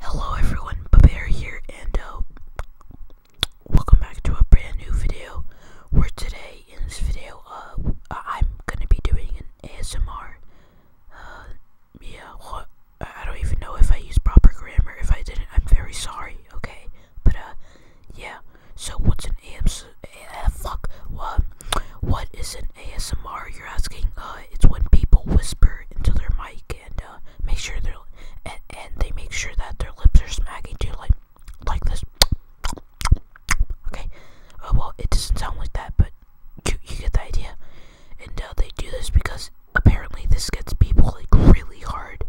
hello everyone, Babear here, and uh, welcome back to a brand new video. Where today, in this video, uh, I'm gonna be doing an ASMR. Uh, yeah, what? I don't even know if I use proper grammar. If I didn't, I'm very sorry, okay? But, uh, yeah. So, what's an ASMR? Uh, eh, fuck. What? What is it? ASMR, you're asking, uh, it's when people whisper into their mic and uh, make sure they're and, they make sure that their lips are smacking too, like like this. Okay, uh, well, it doesn't sound like that, but you you get the idea. And uh, they do this because apparently this gets people like really hard.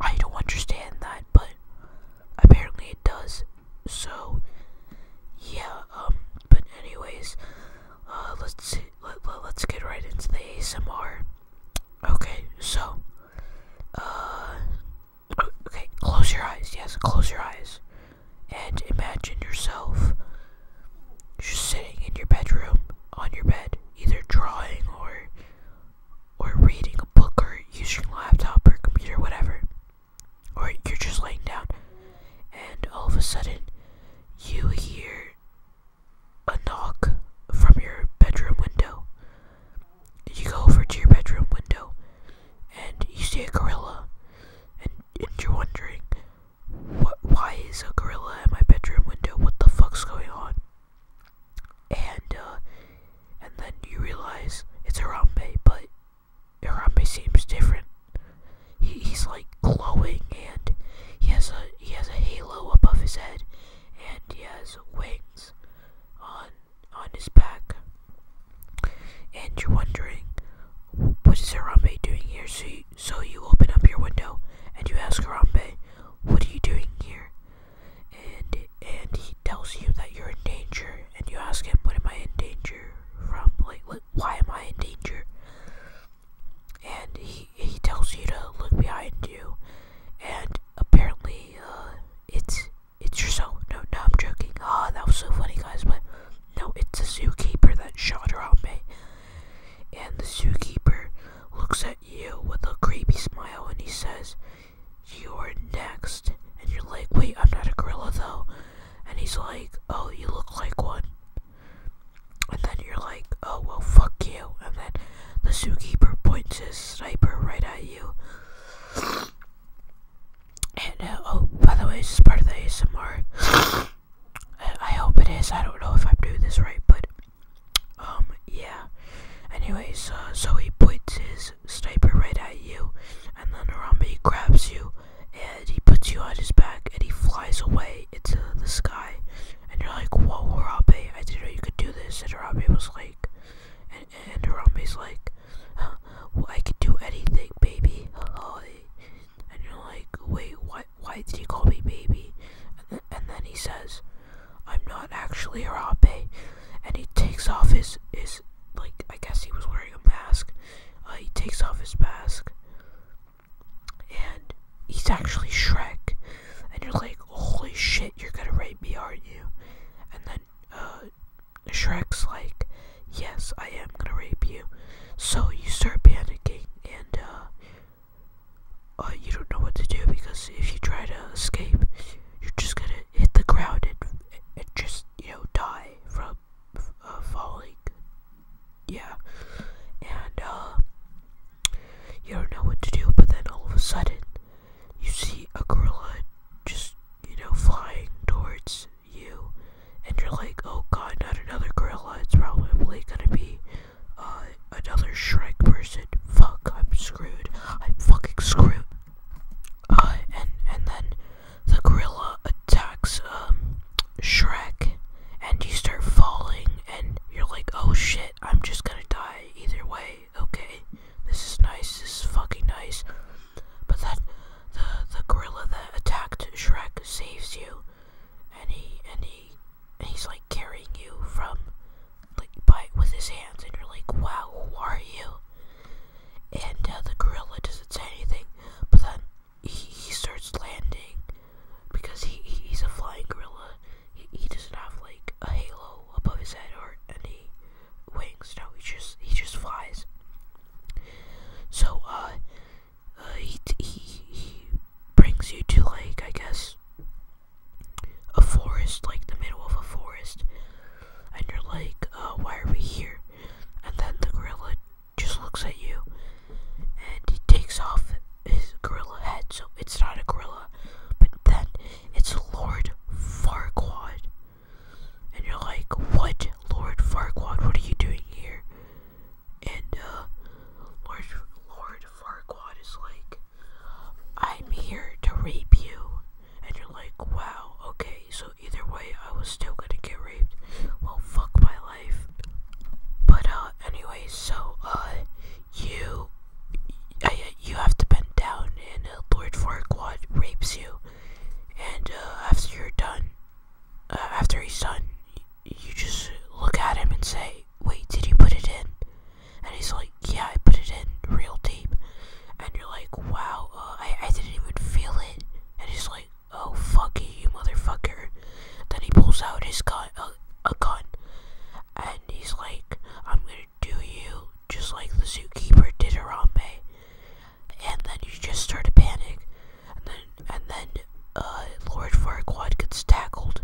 I don't understand that, but apparently it does. So yeah, um, but anyways. Uh, let's see, let, us get right into the ASMR. Okay, so, uh, okay, close your eyes. Yes, close your eyes, and imagine yourself just sitting in your bedroom on your bed, either drawing or or reading a book or using laptop or computer, whatever or you're just laying down, and all of a sudden you hear a knock from your bedroom window. You go over to your bedroom window, and you see a gorilla, and, you're wondering, what? Why is a gorilla at my bedroom window? What the fuck's going on? And uh, and then you realize it's Harambe, but Harambe seems different. he's like glowing, and he has a he has a halo above his head, and he has wings on on his back. And you're wondering, what is Harambe doing here? So you, so you open up your window and you ask Harambe, what are you doing here? And and he tells you that you're in danger and you ask him, What am I in danger from? Like, why am I in danger? And he, he tells you to look behind you, and apparently, uh, it's, it's soul. No, no, I'm joking. Ah, that was so funny, guys, but no, it's the zookeeper that shot Harambe. And the zookeeper looks at you with a creepy smile and he says, you are next. And you're like, wait, I'm not a gorilla though. And he's like, oh, you look like one. And then you're like, oh, well, fuck you. And then the zookeeper points his sniper right at you. And, uh, oh, by the way, this is part of the ASMR. Uh, I, hope it is. I don't know if I'm doing this right, but, um, yeah. Anyways, uh, so he points his sniper right at you, and then Harambe grabs you, and he puts you on his back, and he flies away into the sky. And you're like, whoa, Harambe, I didn't know you could do this. And Harambe was like, and, and like, I can do anything, baby. And you're like, wait, why, why did he call me baby? and then he says, I'm not actually Arabe. And he takes off his, his, like, I guess he was wearing a mask. Uh, he takes off his mask. And he's actually Shrek. And you're like, holy shit, you're gonna rape me, aren't you? And then, uh, Shrek's like, yes, I am gonna rape you. So you start panicking, and, uh, uh, you don't know what to do because if you try to escape, you're just gonna hit the ground and, and just you know die from uh, falling. Yeah, and uh, you don't know what to do. But then all of a sudden, you see a gorilla just you know flying towards you, and you're like, oh god, not another gorilla. It's probably gonna be uh another Shrek person. Fuck, I'm screwed. I'm fucking screwed. Uh, and and then the gorilla attacks um, Shrek, and you start falling, and you're like, oh shit, I'm just gonna die either way. Okay, this is nice. This is fucking nice. But then the the gorilla that attacked Shrek saves you, and he and he and he's like carrying you from like bite with his hands, and you're like, wow, who are you? And uh, the gorilla doesn't say anything, but then he, starts landing because he, he's a flying gorilla. He, doesn't have like a halo above his head or any wings. No, he just he just flies. So uh, uh he, he he brings you to Lake, I guess a forest, like the middle of a forest, and you're like, uh, why are we here? And then the gorilla just looks at you and he takes off his gorilla head, so it's not a gorilla, but then it's Lord Farquaad. And you're like, what, Lord Farquaad, what are you doing here? And, uh, Lord, Lord Farquaad is like, I'm here to rape you. And you're like, wow, okay, so either way, I was still gonna get raped. Well, fuck my life. But, uh, anyway, so, uh, you, uh, you have to bend down, and uh, Lord Farquaad rapes you. And, uh, after you're done, uh, after he's done, you just look at him and say, Wait, did you put it in? And he's like, Yeah, I put it in real deep. And you're like, Wow, uh, I, I didn't even feel it. And he's like, Oh, fuck you, you motherfucker. Then he pulls out his gun, uh, a gun. And he's like, I'm gonna do you just like the zookeeper did Harambe. And then you just start to panic. And then and then uh, Lord Farquaad gets tackled,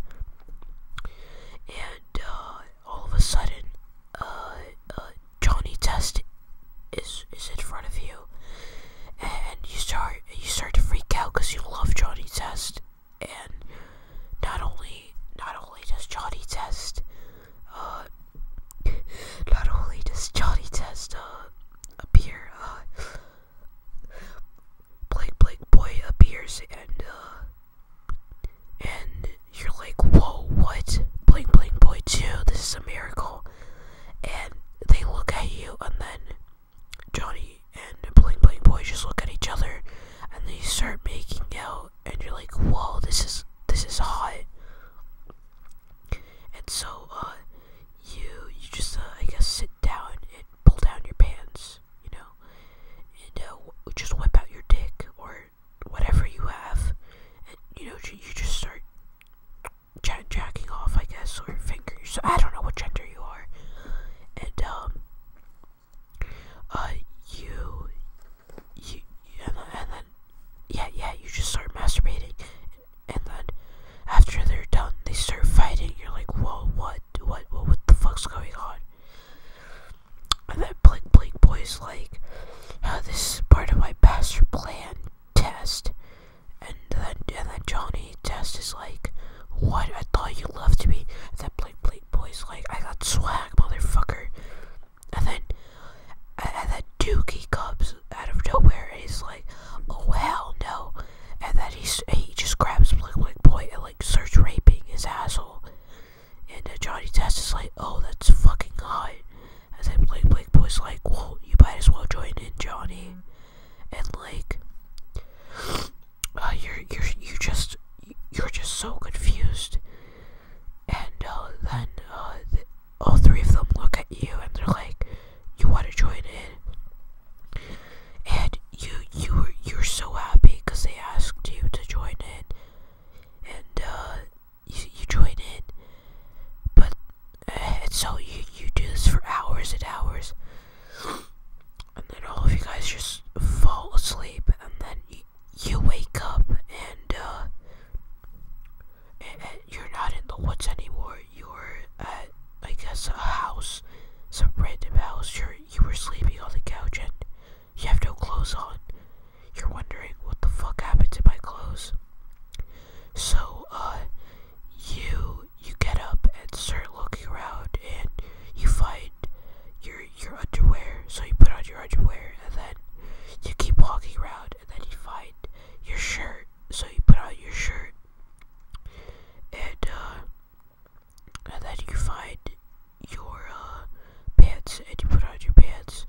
and uh, all of a sudden, uh, uh, Johnny Test is is in front of you, and you start you start to freak out because you love Johnny Test, and not only not only does Johnny Test, not only does Johnny Test appear, Blake Blake Boy appears and uh, and you're like, whoa, what? Blink Blink Boy 2, this is a miracle. And they look at you and then Johnny and Blink Blink Boy just look at each other and they start making out and you're like, whoa, this is this is hot. And so uh you you just uh, I guess sit sit down and pull down your pants, you know, and uh, just whip out your dick or whatever you have, and you know, you just start j- jacking off, I guess, or finger So I don't know what gender you are, and um, uh, you, you, and, and then yeah, yeah, you just start masturbating and then after they're done, they start fighting. You're like, whoa, what, what, what, what the fuck's going on? And then Blake Blake Boy's like, oh, this is part of my master plan test. And then, and then Johnny Test is like, what? I thought you loved me. And then Blake Blake Boy's like, I got swag, motherfucker. And then, and then Dookie comes out of nowhere and he's like, "Oh hell no!" And then he he just grabs Blick Blick Boy and like starts raping his asshole. And uh, Johnny Test is like, "Oh, that's fucking hot." And then Blick Boy is like, "Well, you might as well join in, Johnny." And like, uh, you're you're you just you're just so confused. And uh, then uh, all three of them look at you and they're like, "You want to join in?" And you you you're so happy because they asked you to join in, and uh, you join in. But uh, and so you you do this for hours and hours, and then all of you guys just fall asleep, and then you, wake up and uh, and, and you're not in the woods anymore. You're at, I guess, a house, some random house. You're, you were sleeping on the couch and you have no clothes on. You're wondering what the fuck happened to my clothes. So, uh, you you get up and start looking around, and you find your your underwear. So you put on your underwear, and then you keep walking around, and then you find hide your shirt. So you put out your shirt, and uh, and then you find your uh, pants, and you put on your pants,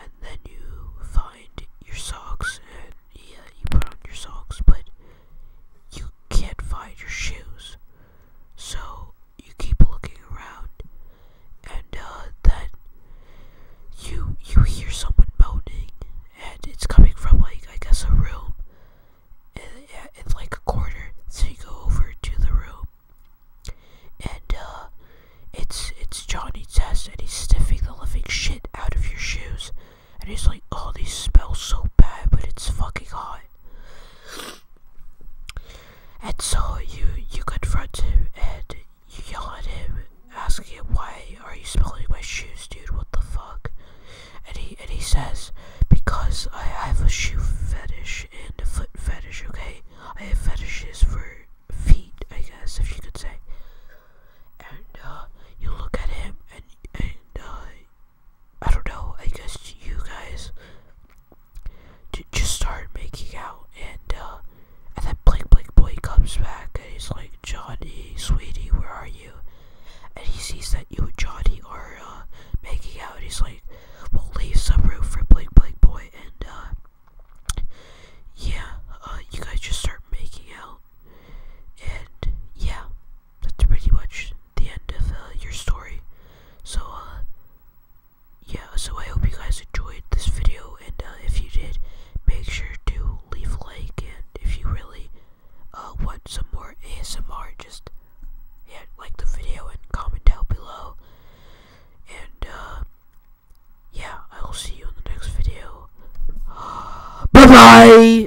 and then you find your socks, and yeah, you put on your socks, but you can't find your shoes. So you keep looking around, and uh, that you you hear someone moaning, and it's coming from like I guess a room, and it's like a corner. So you go over to the room, and uh, it's it's Johnny Test, and he's sniffing the living shit out of your shoes, and he's like, "Oh, these smell so bad, but it's fucking hot." And so you you confront him, and you yell at him, asking him why are you smelling my shoes, dude? What the fuck? And he and he says, because I have a shoe fetish and a foot fetish. Okay, I have fetishes for feet, I guess, if you could say. And uh, you look at him, and and uh, I don't know. I guess you guys to just start making out, and uh, and then Blake Blake Boy comes back, and he's like, Johnny, sweetie, where are you? And he sees that you and Johnny are uh, making out, he's like, we'll leave some room for Blake Blake Boy, and uh, yeah, you guys just start making out, and yeah, that's pretty much the end of your story. So, yeah, so I hope you guys enjoyed this video, and uh, if you did, make sure to leave a like, and if you really uh, want some more ASMR, just yeah, like the video and comment down below. And uh, yeah, I will see you in the next video. bye bye.